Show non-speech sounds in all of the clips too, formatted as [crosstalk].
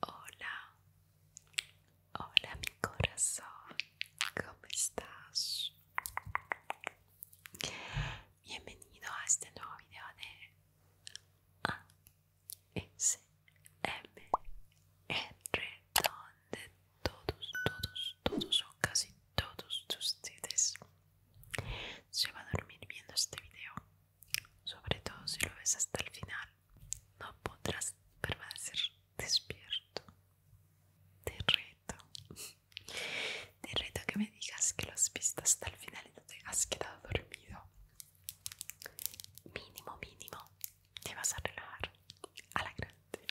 Hola, hola mi corazón, ¿cómo estás? Bienvenido a este nuevo video de ASMR donde todos, todos, todos o casi todos ustedes se va a dormir viendo este video, sobre todo si lo ves hasta el final. No podrás permanecer despierto. Te reto. Te reto que me digas que lo has visto hasta el final y no te has quedado dormido. Mínimo, mínimo. Te vas a relajar a la grande.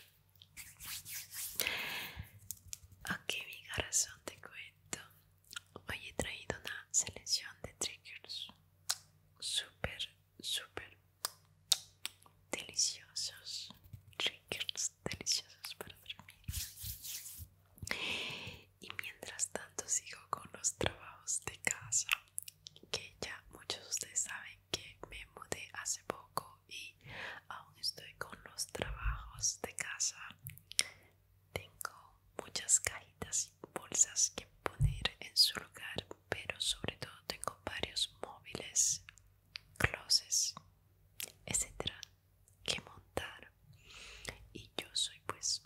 Ok, mi corazón, te cuento hoy he traído una selección de triggers super súper deliciosos triggers deliciosos para dormir y mientras tanto sigo con los trabajos de casa que ya muchos de ustedes saben que me mudé hace poco y aún estoy con los trabajos de casa tengo muchas cajitas y bolsas que poner en su lugar, pero sobre todo tengo varios móviles, closets, etcétera, que montar. Y yo soy pues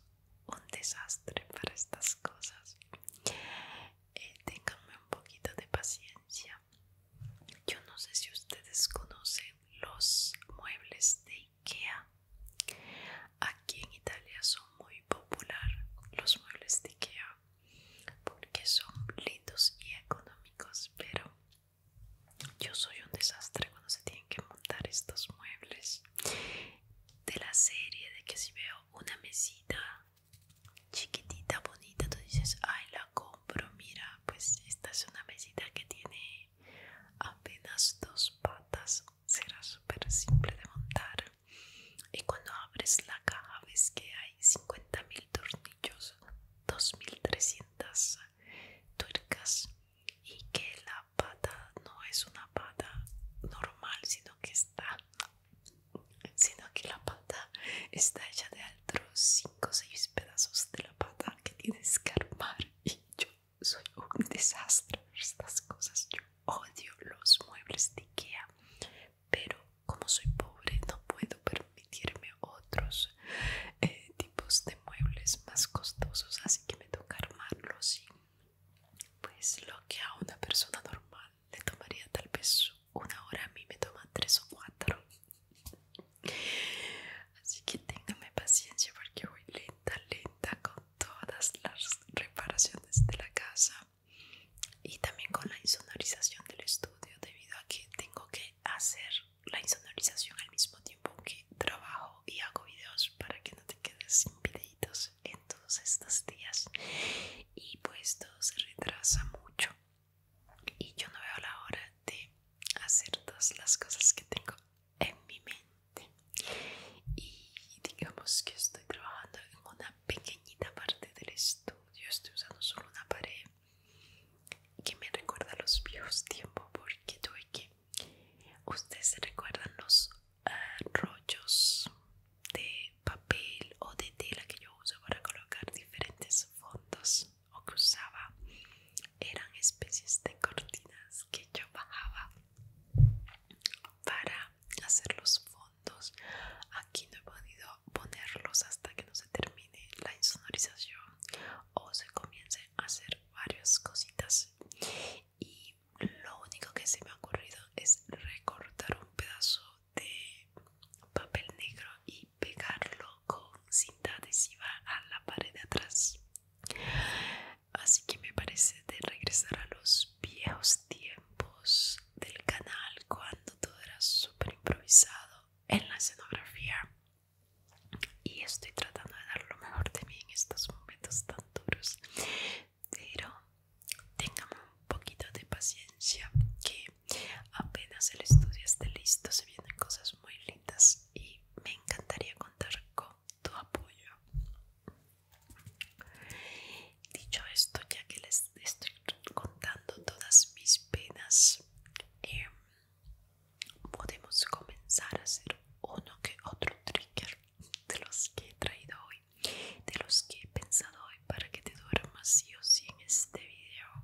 un desastre para estas cosas. Eh, ténganme un poquito de paciencia. Yo no sé si ustedes conocen los muebles de Ikea. Aquí en Italia son muy popular los muebles de Ikea porque son lindos y económicos, pero yo soy un desastre cuando se tienen que montar estos muebles. De la serie de que si veo una mesita chiquitita, bonita, tú dices, ay, la compro, mira, pues esta es una mesita que tiene apenas dos patas será súper simple de montar y cuando abres la caja ves que hay 50.000 tornillos 2.300 tuercas y que la pata no es una pata normal sino que está sino que la pata está hecha de otros 5 o 6 pedazos de la pata que tienes que armar y yo soy un desastre por estas cosas. Yo odio los muebles de Ikea, pero como soy pobre no puedo permitirme otros eh, tipos de muebles más costosos, así que me toca armarlos y pues lo que a una persona normal le tomaría tal vez una hora a mí me toma tres o cuatro Así que téngame paciencia porque voy lenta, lenta con todas las reparaciones de la casa y también con la insonorización del estudio debido a que tengo que hacer la insonorización al mismo tiempo que trabajo y hago videos para que no te quedes sin videitos en todos estos días y pues todo se retrasa mucho y yo no veo la hora de hacer todas las cosas que tengo en mi mente y digamos que estoy trabajando en una pequeñita parte del estudio estoy usando solo una pared que me recuerda a los viejos tiempos porque tuve que ustedes se recuerdan los ah, rollos de papel o de tela que yo uso para colocar diferentes fondos o usaba eran especies de cortinas que yo bajaba para hacer los fondos aquí no he podido ponerlos hasta que no se termine la insonorización o se comience a hacer varias cositas y lo único que se me ha ocurrido es recortar un pedazo de papel negro y pegarlo con cinta adhesiva a la pared de atrás. Así que me parece de regresar a los viejos tiempos del canal cuando todo era súper improvisado en la escenografía. Y estoy tratando de dar lo mejor de mí en estos momentos tan duros. Pero tengan un poquito de paciencia que apenas el estudio esté listo se vienen cosas muy lindas y me encantaría contar con tu apoyo. Dicho esto, ya que les estoy contando todas mis penas, em, podemos comenzar a hacer uno que otro trigger de los que he traído hoy, de los que he pensado hoy para que te duermas sí o sí en este video.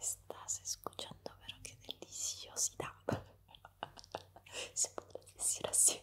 Estás escuchando, pero qué deliciosidad. [laughs] Se puede decir así.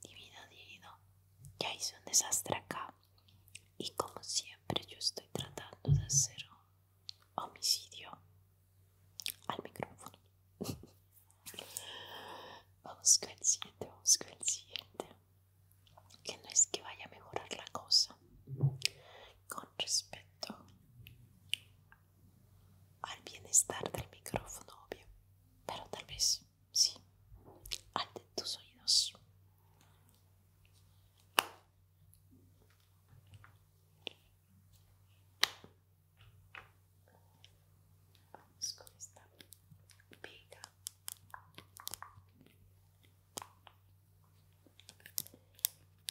Divino, divino, ya hice un desastre acá. Y como siempre yo estoy tratando de hacer homicidio al micrófono. [laughs] Vamos con el siguiente, vamos con el siguiente. Que no es que vaya a mejorar la cosa. Con respecto al bienestar del micrófono, obvio. Pero tal vez, sí, Ante tus oídos. Vamos con esta pica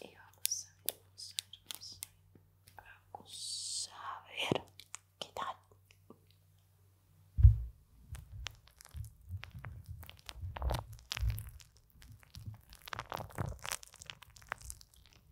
Y Vamos a ver qué tal.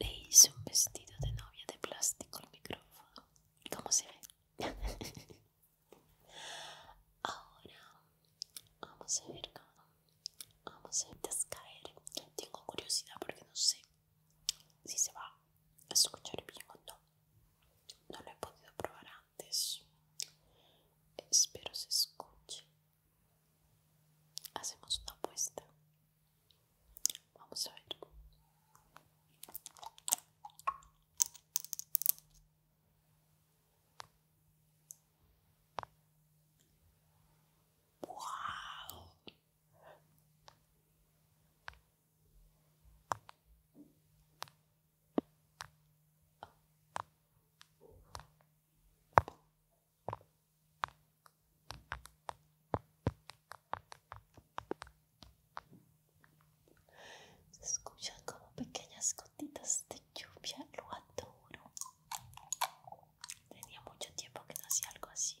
Le hice un vestido de novia de plástico al micrófono. ¿Cómo se ve? [laughs] Ahora vamos a ver cómo vamos a descaer. Tengo curiosidad porque no sé si se va a escuchar bien o no. No lo he podido probar antes. Espero se escuche. Hacemos una apuesta. Vamos a ver. ¡Wow! Se escuchan como pequeñas gotitas de lluvia, lo adoro. Tenía mucho tiempo que no hacía algo así.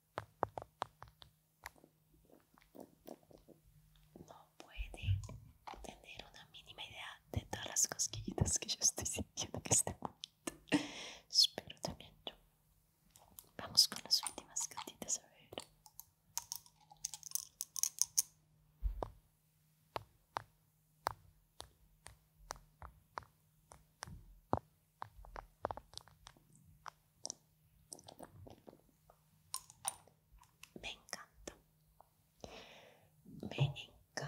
No puede tener una mínima idea de todas las cosquillitas que yo estoy sintiendo que este Espero también yo. Vamos con las últimas gotitas a ver. Me encanta. Me encanta.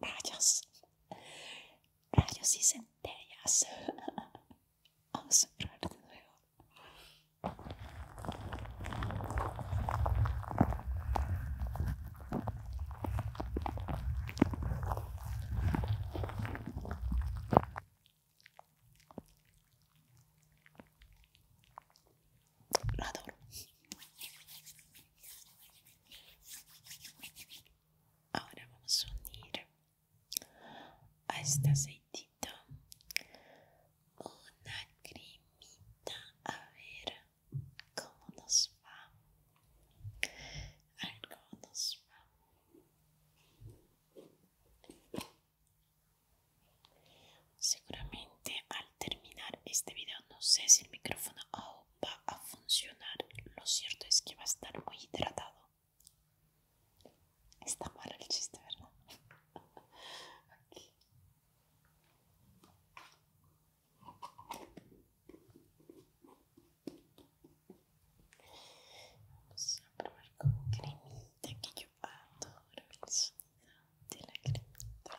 rayos, rayos y centellas. [laughs] Vamos a cerrar de nuevo lo Ahora vamos a unir a este aceitito una cremita. A ver cómo nos va. A nos va. Seguramente al terminar este video, no sé si el micrófono oh, va a funcionar. Lo cierto es que va a estar muy hidratado. Está mal el chiste, ¿verdad? Vamos a probar con cremita que yo adoro el sonido de la cremita.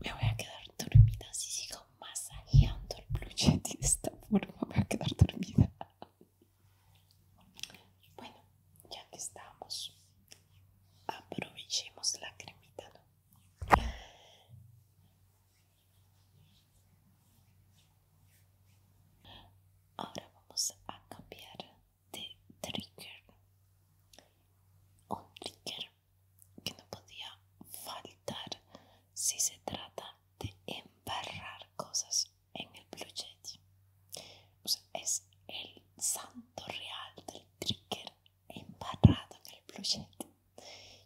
Me voy a quedar dormida si sigo masajeando el pluchet de esta forma. Me voy a quedar dormida. Bueno, ya que estamos, aprovechemos la cremita, ¿no? Ahora vamos a cambiar de trigger. Un trigger que no podía faltar si se trata de embarrar cosas en el Blue O sea, es el santo real del trigger embarrado en el Blue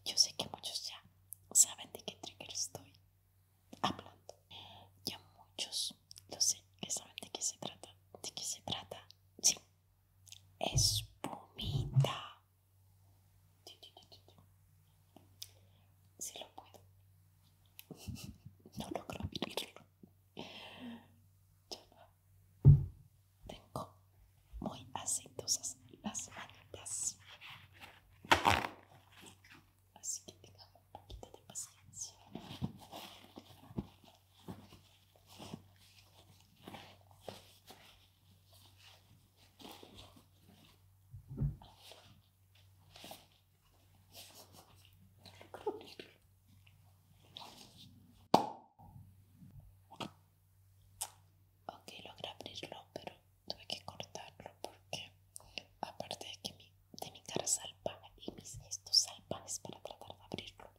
Yo sé que muchos ya saben de qué trigger estoy hablando. Ya muchos lo sé que saben de qué se trata. ¿De qué se trata? Sí. Espumita. Si sí, lo puedo. No logro vivirlo. Tengo muy aceitosas las manos, Así que tenga un poquito de paciencia. Ok, logré abrirlo, pero tuve que cortarlo porque aparte de que mi, de mi cara salvaje y mis gestos salpanes para tratar de abrirlo,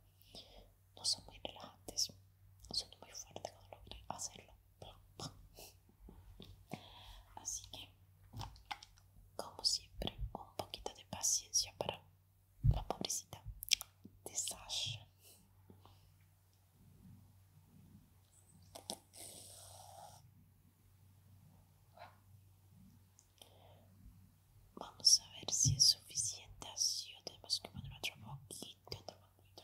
no son muy relajantes, son muy fuertes cuando logré hacerlo. Así que, como siempre, un poquito de paciencia para la pobrecita de Sasha. Vamos a ver si es suficiente así o tenemos que poner otro poquito, otro poquito.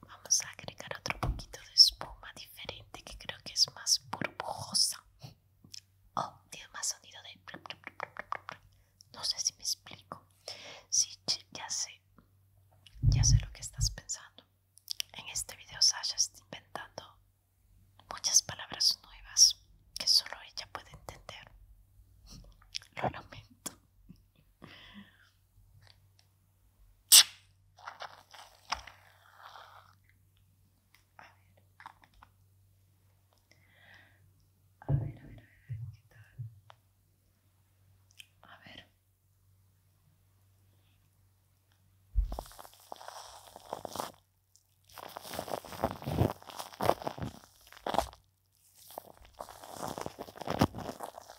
Vamos a agregar otro poquito de espuma diferente que creo que es más burbujosa. Oh, tiene más sonido de... No sé si me explico. Sí, ya sé. Ya sé lo que estás pensando. En este video Sasha está inventando muchas palabras nuevas que solo ella puede entender. Lo lamento. A ver, a ver, a ver, a ver, A ver.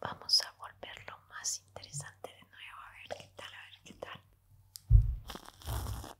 Vamos a volverlo más interesante de nuevo, a ver qué tal, a ver qué tal.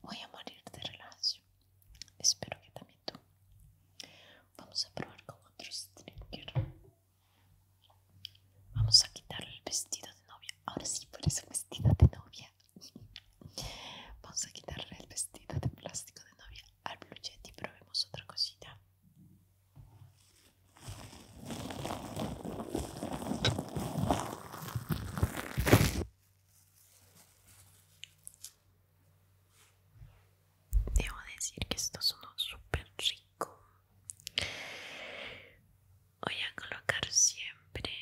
Voy a morir de relajación, Espero que también tú. Vamos a probar con otros streamer. Vamos a quitarle el vestido de novia. Ahora sí, por ese vestido de novia. [laughs] Vamos a quitarle el vestido de plástico de novia al blue y probemos otra cosita. Debo decir que esto suena súper rico. Voy a colocar siempre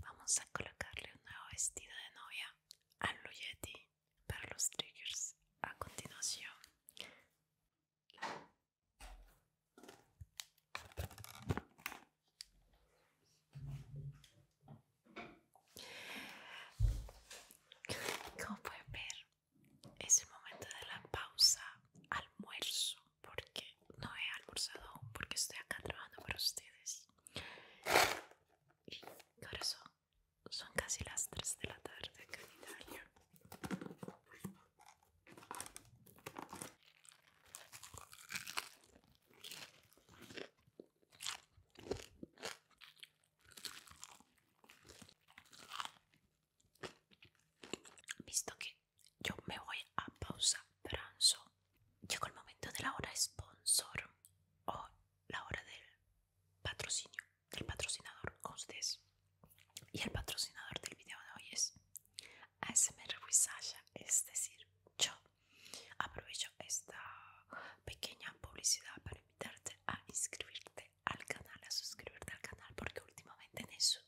Vamos a colocarle un nuevo vestido de novia a Luyeti para los triggers a continuación como pueden ver es el momento de la pausa almuerzo porque no he almorzado porque estoy acá trabajando para ustedes y corazón son casi las 3 de la tarde Italia. Visto que yo me voy a pausa pranzo, llegó el momento de la hora sponsor o la hora del patrocinio el patrocinador Constes. Y el patrocinador del video de hoy es ASMR es decir, yo aprovecho esta pequeña publicidad para invitarte a inscribirte al canal, a suscribirte al canal, porque últimamente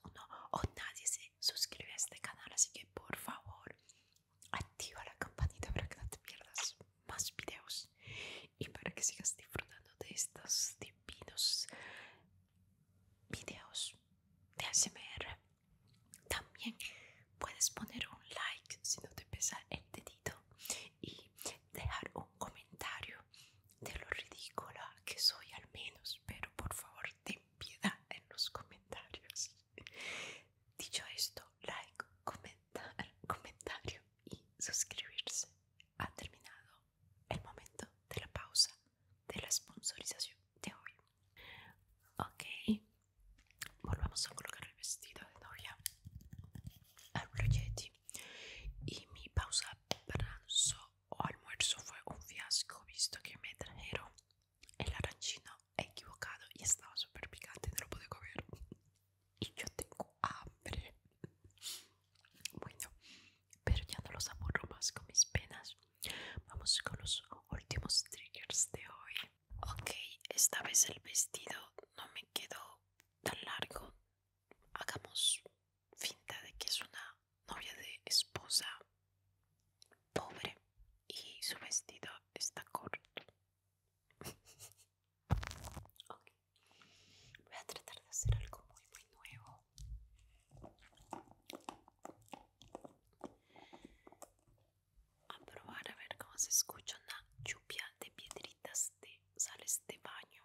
uno o nadie se suscribe a este canal, así que por favor activa la campanita para que no te pierdas más videos y para que sigas disfrutando de estos divinos videos de ASMR también puedes poner un like si no te pesa el dedito y dejar un comentario de lo ridícula que soy al menos pero por favor ten piedad en los comentarios dicho esto like comentar comentario y suscribirse. Ha terminado el momento de la pausa de la sponsorización de hoy. Ok, volvamos a colocar el vestido de novia al Blue Y mi pausa pranzo o almuerzo fue un fiasco, visto que me trajeron el arancino equivocado y estaba súper picante, no lo pude comer y yo tengo hambre. Bueno, pero ya no los aburro más con mis penas. Vamos con los últimos triggers de hoy. Ok, esta vez el vestido no me quedó tan largo. Hagamos finta de que es una novia de esposa pobre y su vestido está corto. [laughs] Voy a tratar de hacer algo muy, muy nuevo. A probar a ver cómo se escucha una lluvia de piedritas de sales de baño.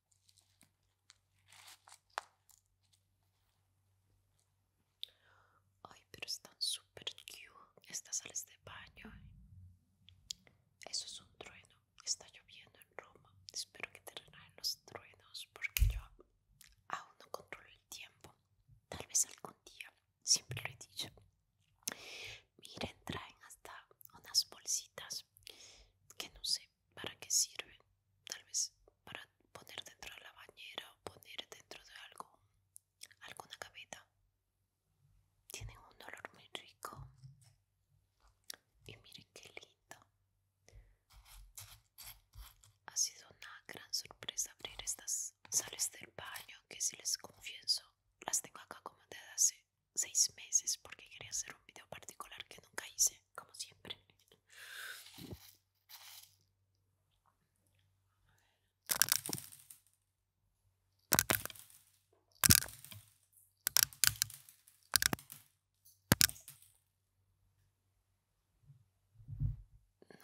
Ay, pero están súper cute estas sales de baño. Eso es un trueno. Está lloviendo en Roma. Espero que te los truenos porque yo aún no controlo el tiempo. Tal vez algún día, siempre lo he dicho. Miren, traen hasta unas bolsitas que no sé, para qué sirve tal vez para poner dentro de la bañera o poner dentro de algo alguna cabeta. tienen un olor muy rico y miren qué lindo ha sido una gran sorpresa abrir estas sales del baño que si les confieso las tengo acá como desde hace seis meses porque quería hacer un video particular que nunca hice como siempre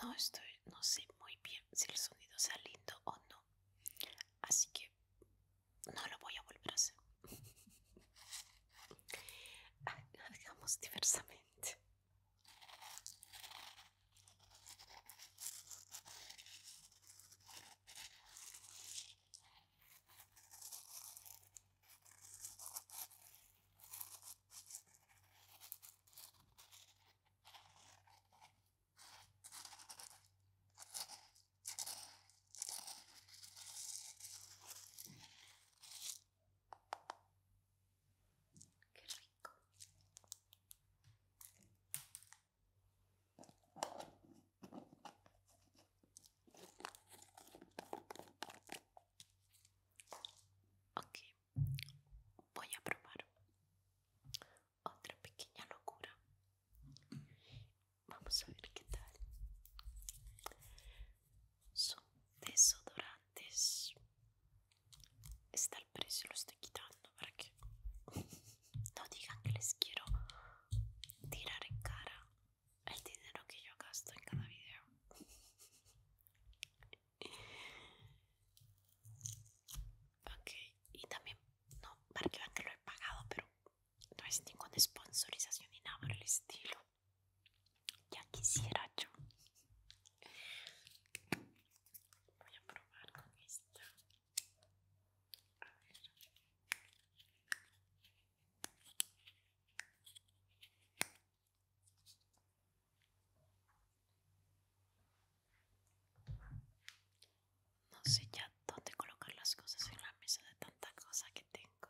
no estoy, no sé muy bien si el sonido sea lindo o no, así que no lo voy a volver a hacer. [laughs] hagamos diversamente Ok, voy a probar otra pequeña locura Vamos a ver qué tal. Son desodorantes. Está el precio, lo estoy quitando para que [laughs] no digan que les quiero tirar en cara el dinero que yo gasto en cada video. [laughs] Ok, y también, no, para que vean que lo he pagado, pero no es ninguna sponsorización ni nada por el estilo. Ya quisiera yo. Voy a probar con esta. A ver. No sé ya dónde colocar las cosas en la mesa de tanta cosa que tengo.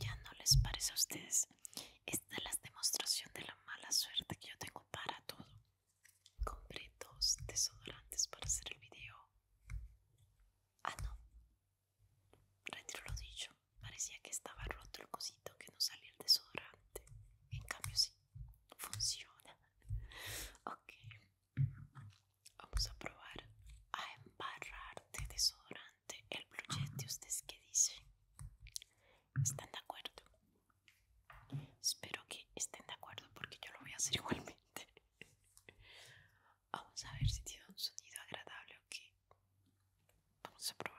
Ya no les parece a ustedes esta es la demostración de la mala suerte que yo tengo para todo. Compré dos desodorantes para hacer el video. Ah, no. Retiro lo dicho. Parecía que estaba roto el cosito que no salía el desodorante. En cambio, sí. Funciona. [laughs] Ok. Vamos a probar a embarrar de desodorante el Blue ¿Ustedes qué dicen? ¿Están de acuerdo? Espero que estén de acuerdo porque yo lo voy a hacer [laughs] igualmente. Vamos a ver si tiene un sonido agradable o qué. Vamos a probar.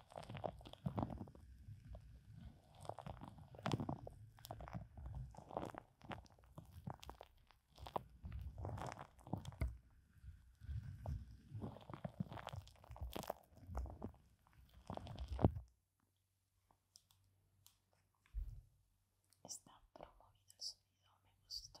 Está promovido el sonido, me gustó.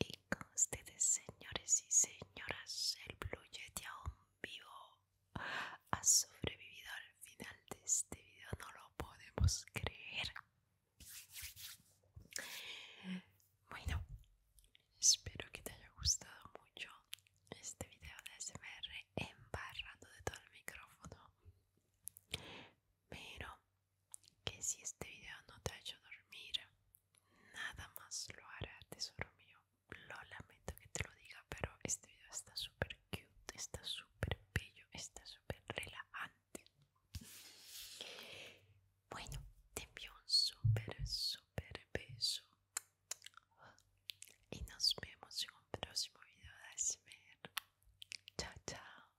Y con ustedes, señores y señoras, el Blue Yeti aún vivo ha sobrevivido al final de este video, no lo podemos creer. Bueno, espero que te haya gustado mucho este video de SMR embarrando de todo el micrófono. Pero que si este video no te ha hecho dormir, Nada más lo hará, tesoro mío. Lo lamento que te lo diga, pero este video está súper cute, está súper bello, está súper relajante. Bueno, te envío un súper, súper beso. Y nos vemos en un próximo video de ASMR. Chao, chao.